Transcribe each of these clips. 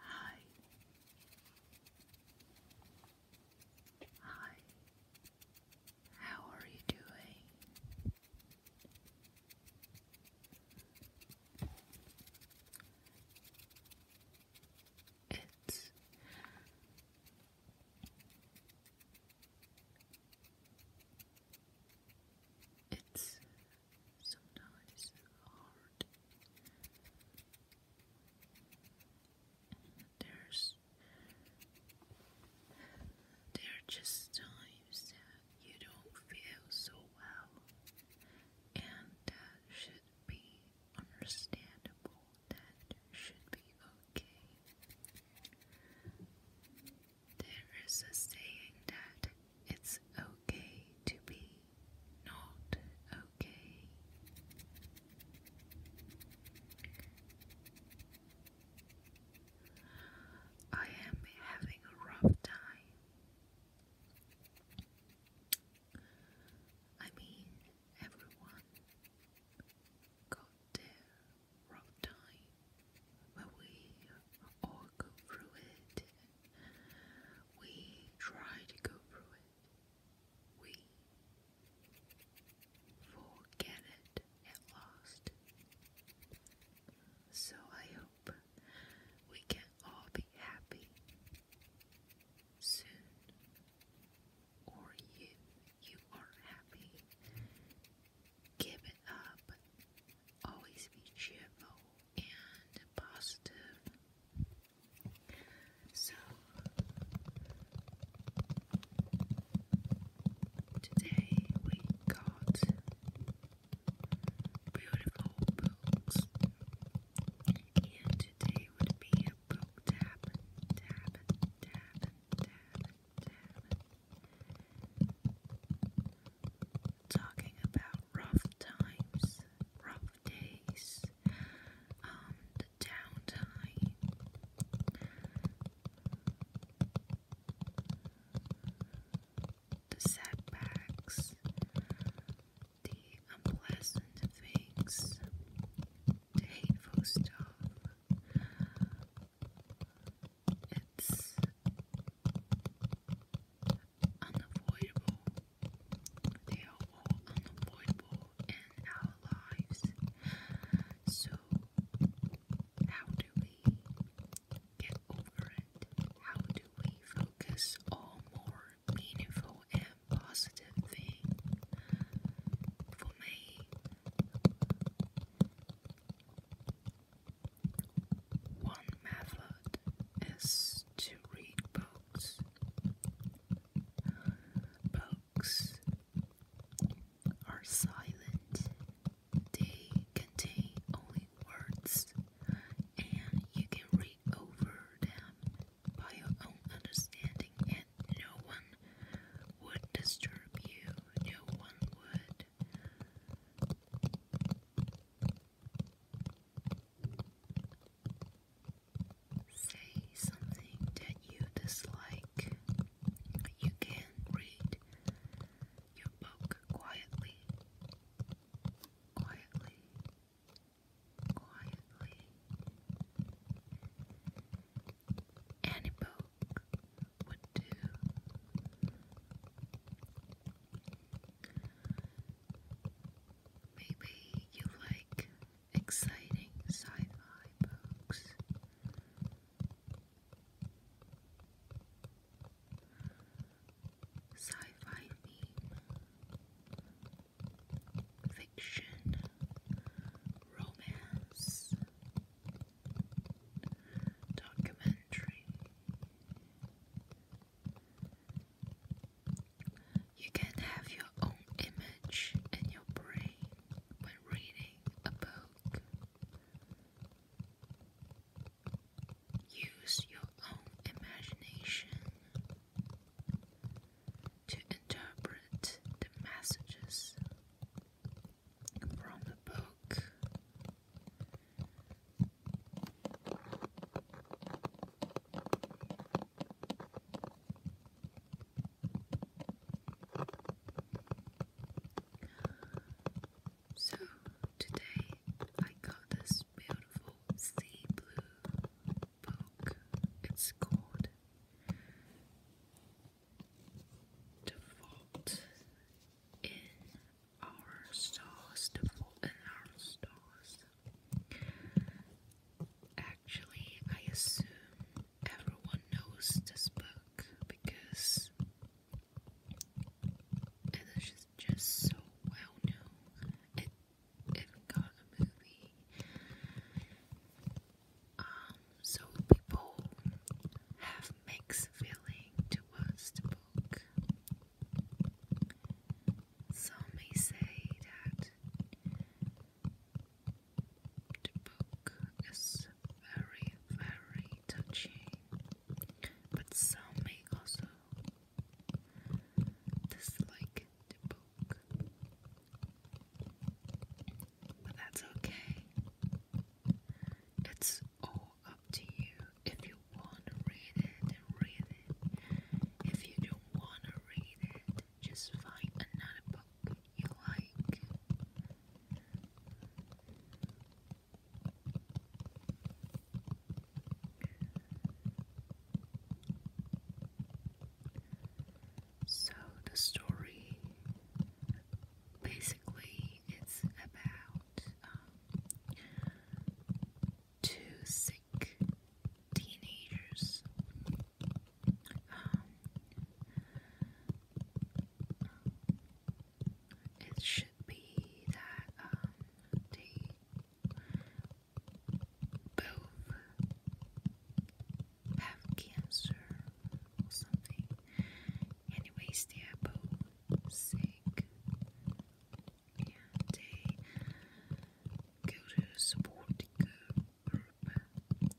Hi. Hi. How are you doing? It's it's sometimes hard. There's there are just times you don't feel so well, and that uh, should be understandable. That should be okay. There is a saying that it's okay to be not okay. I am having a rough time. I mean, everyone got their rough time, but we all go through it. We try to go through it. We forget it at last. So I hope we can all be happy soon, or you you are happy. Give it up. Always be cheerful and positive. So Today we got beautiful books, and today would be a book tap, tap, tap, tap, tap. Talking about rough times, rough days, um, the downtime the setbacks, the unpleasant things, the hateful stuff. It's unavoidable. They are all unavoidable in our lives. So how do we get over it? How do we focus on more meaningful and positive things? For me, one method is to read books. Books are silent. They contain only words, and you can read over them by your own understanding, and no one would disturb you. No one would. Say something that you dislike. You can read you poke quietly, quietly, quietly. Any poke would do. Maybe you like exciting sci fi books. Sci-fi fiction, romance, documentary. You can have your own image in your brain when reading a book. Use your own imagination to interpret the messages from the book. So today I got this beautiful sea blue book. It's called The Vault in Our Stars. The Vault in Our Stars. Actually, I assume everyone knows this book because it is just, so well known. It it got a movie. Um, so people have mixed feeling towards the book. Some may say that the book is very, very touchy, but some may also dislike the book. But that's okay. It's all up to you if you want to read it read it. If you don't want to read it, just find another book you like. So the story basically it's about um, two sick teenagers it should be that um, they both have cancer or something. Anyways, they both sick. Yeah, they go to support the group group and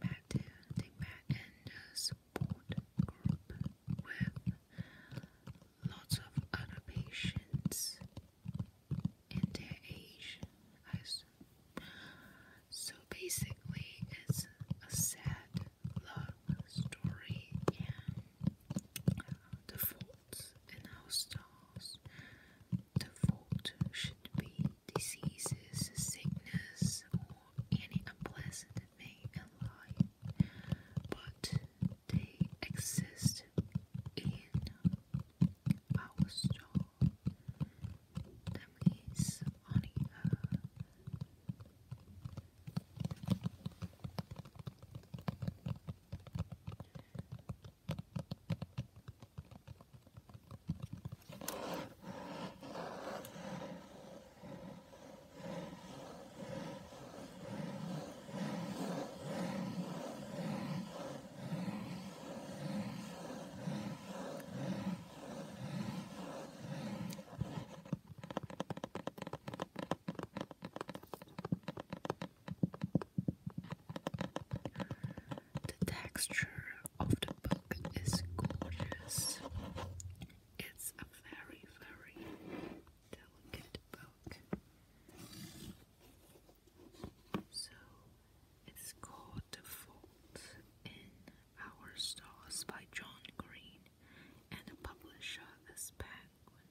back to back and uh, support group lots of other patients and So basically, it's a sad love story uh, the faults in our stars, should be diseases, sickness, or any unpleasant thing alive, but they exist in our soul. That means only the texture of the book is gorgeous. It's a very, very delicate book. So it's called The Fault in Our Stars by John Green, and the publisher is Penguin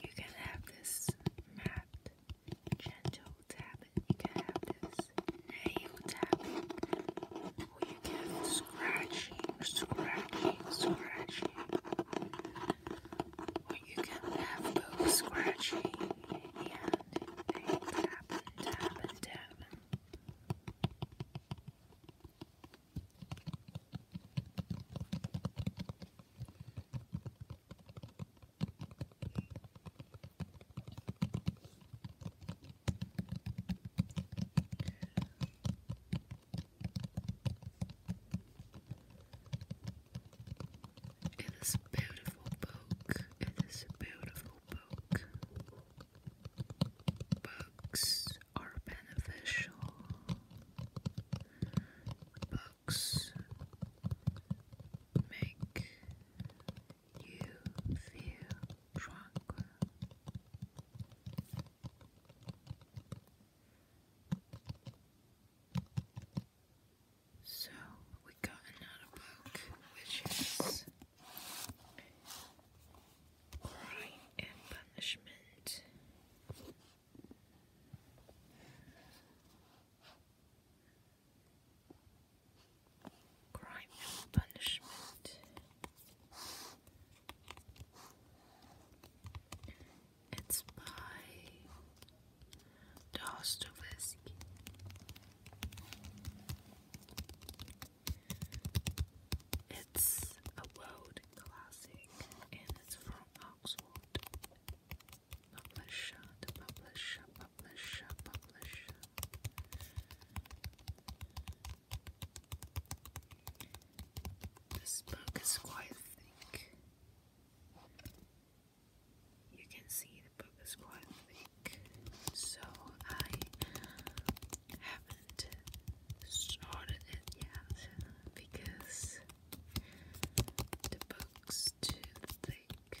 You can have this mapped gentle tapping. You can have this nail tapping. Or you can have scratching, scratching, Or you can have both scratching and happened, happened, happened, happened. It is a beautiful book. It is a beautiful book. Books are beneficial. Books make you feel tranquil. So we got another book which is Crime and Punishment. Crime and Punishment. It's by Dostoevsky. It's a world classic and it's from Oxford. Publisher, the publisher, publisher, publisher. This book is quite thick you can see the book is quite thick, so I haven't started it yet because the book's too thick.